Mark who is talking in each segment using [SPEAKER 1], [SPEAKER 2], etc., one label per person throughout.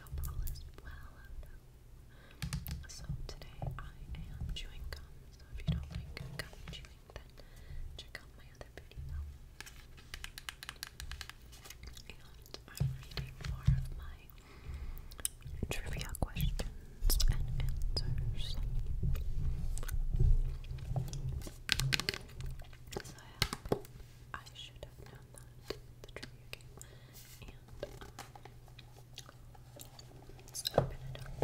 [SPEAKER 1] Hope So today I am chewing gum, so if you don't like chewing, then check out my other video. And I'm reading more of my trivia questions and answers. I should have known that the trivia game. And let's um, open it up. I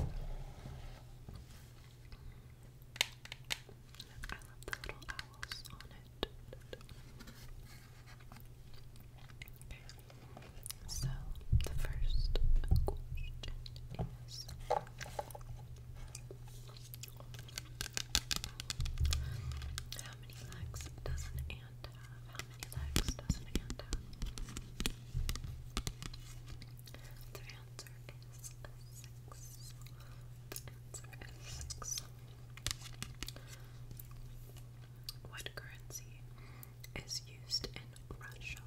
[SPEAKER 1] love the little owls on it. Okay. So the first question is how many legs does an ant have? How many legs does an ant have? The answer is six. The answer is six. What currency is used in Russia?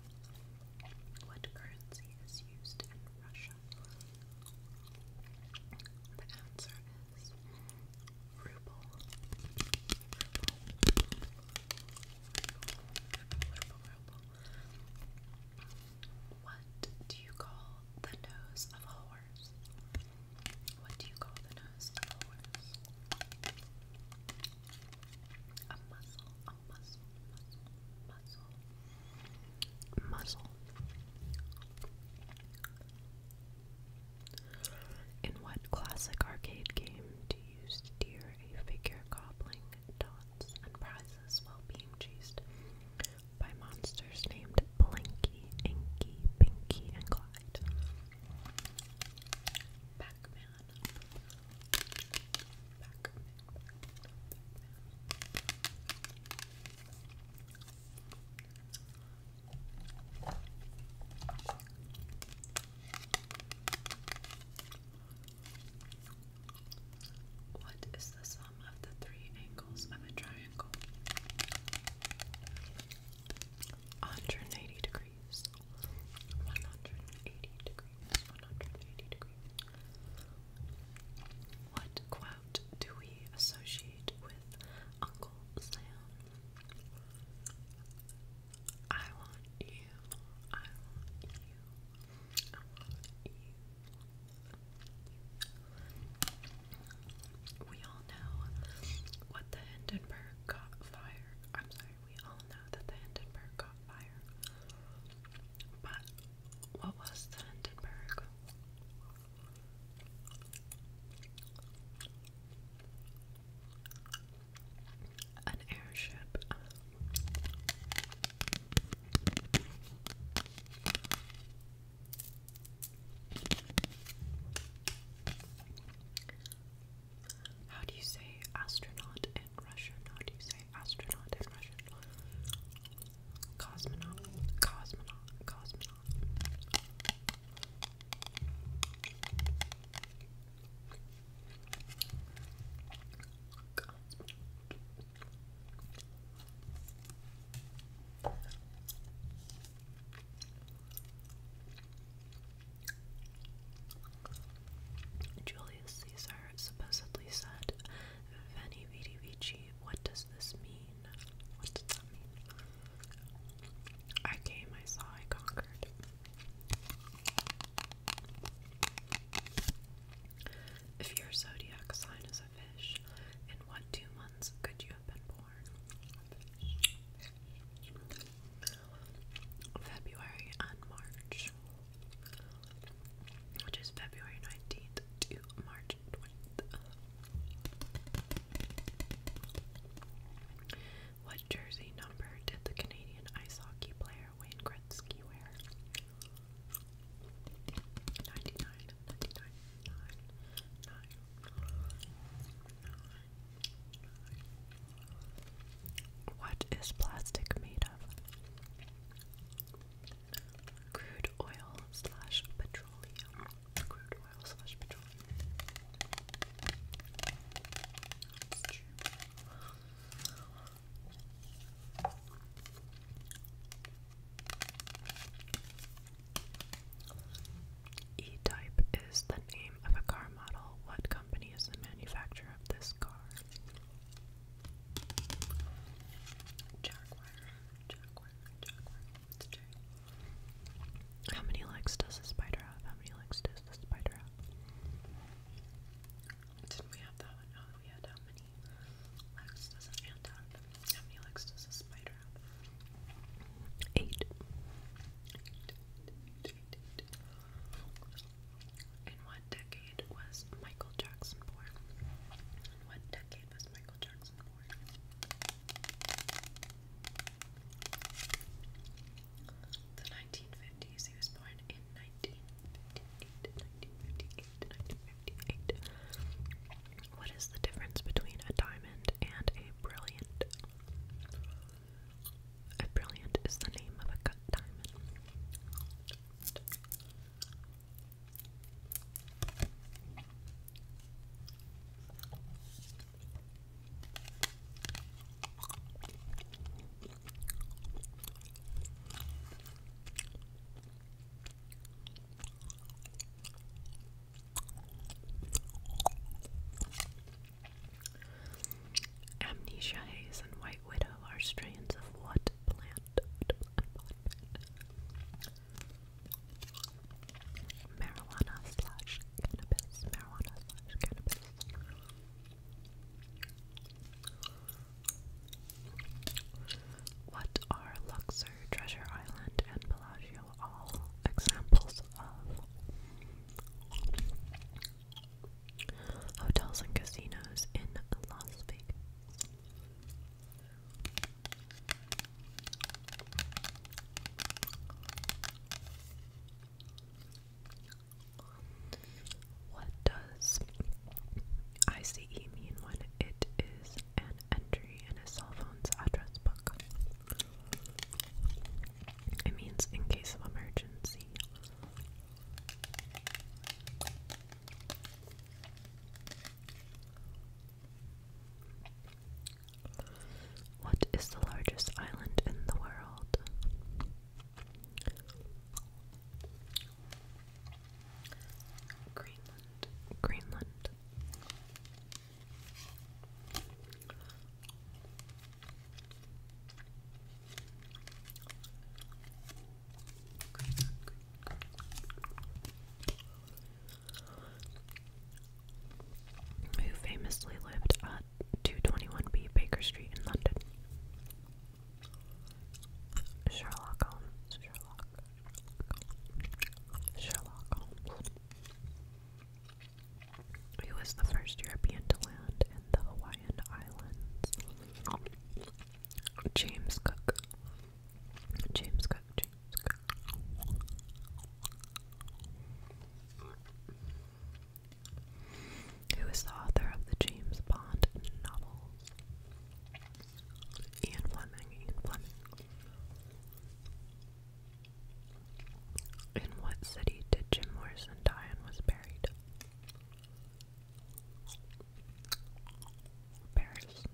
[SPEAKER 1] What currency is used in Russia? The answer is ruble. Ruble. Ruble, ruble. What do you call the nose of a horse? What do you call the nose of a horse? A muzzle. Oh, muscle, muscle, muscle, muscle. In what classic arcade game do you steer a figure gobbling dots and prizes while being chased by monsters named Blinky, Inky, Pinky, and Clyde? Pac-Man. What is the sum of the three angles of a triangle? 180 degrees. 180 degrees. What quote do we associate with Uncle Sam? I want you, I want you, I want you. We all know what the Hindenburg got fire. I'm sorry, we all know that the Hindenburg got fire. But what was the Hindenburg? An airship. how do you say astronaut in Russian? say astronaut in Russian? Cosmonaut, cosmonaut, cosmonaut. cosmonaut. Julius Caesar supposedly said Veni Vidi Vici. What does this mean? What does that mean? I came, I saw, I conquered. If your zodiac sign is a fish, in what two months could you have been born? February and March which is February 19th to March 20th. What jersey number did the Canadian ice hockey player Wayne Gretzky wear? 99, What is plastic made of? Crude oil slash petroleum. Crude oil slash petroleum. E type is the name of a car model. What company is the manufacturer of this car? How many legs does the spider have? How many legs does the spider have? did we have that one? No, oh, we had how many legs does an ant have? How many legs does a spider have? Eight. In what decade was Michael Jackson born? what decade was Michael Jackson born? The 1950s. He was born in 1958, 1958, 1958. What is the difference between a diamond and a brilliant? A brilliant is the name of a cut diamond. Amnesia haze and white widow are strains of what plant? Marijuana slash cannabis. Marijuana slash cannabis. What are Luxor, Treasure Island, and Bellagio all examples of? hotels and casinos in Las Vegas. What does ICE mean when it is an entry in a cell phone's address book? It means in case of emergency. What is the largest island in the world? Greenland. Greenland. Who famously lived at 221B Baker Street in London? Sherlock Holmes. Sherlock. Holmes. He was the first European to land in the Hawaiian Islands. James Cook. James Cook, James Cook. Who is the author of the James Bond novels? Ian Fleming, Ian Fleming. In what city did Jim Morrison die and was buried? Paris. Paris.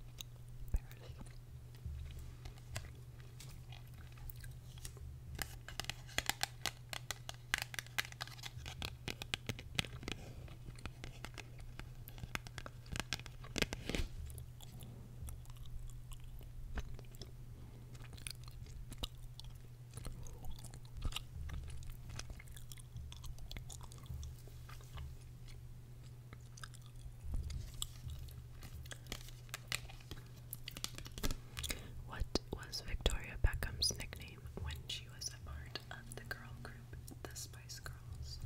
[SPEAKER 1] What was Victoria Beckham's nickname when she was a part of the girl group The Spice Girls?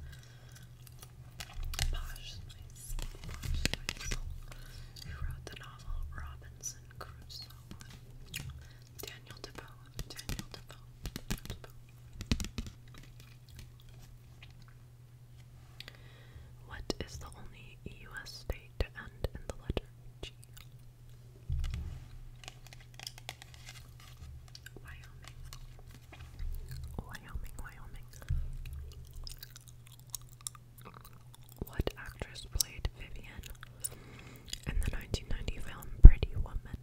[SPEAKER 1] Posh Spice. Who wrote the novel Robinson Crusoe? Daniel Defoe. What is the only U.S. state to end in the letter G? Wyoming. Wyoming, Wyoming. What actress played Vivian in the 1990 film Pretty Woman?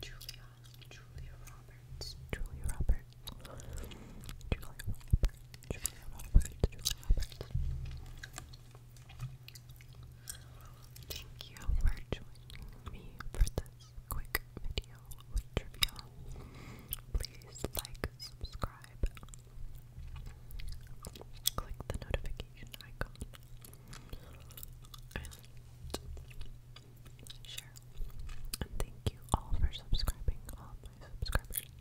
[SPEAKER 1] Julia, Julia Roberts, Julia Roberts, Julia Roberts, Julia Roberts, Julia Roberts. Thank you for joining me for the quick video with Please like, subscribe, click the notification icon, and share. And thank you all for subscribing, all my subscribers.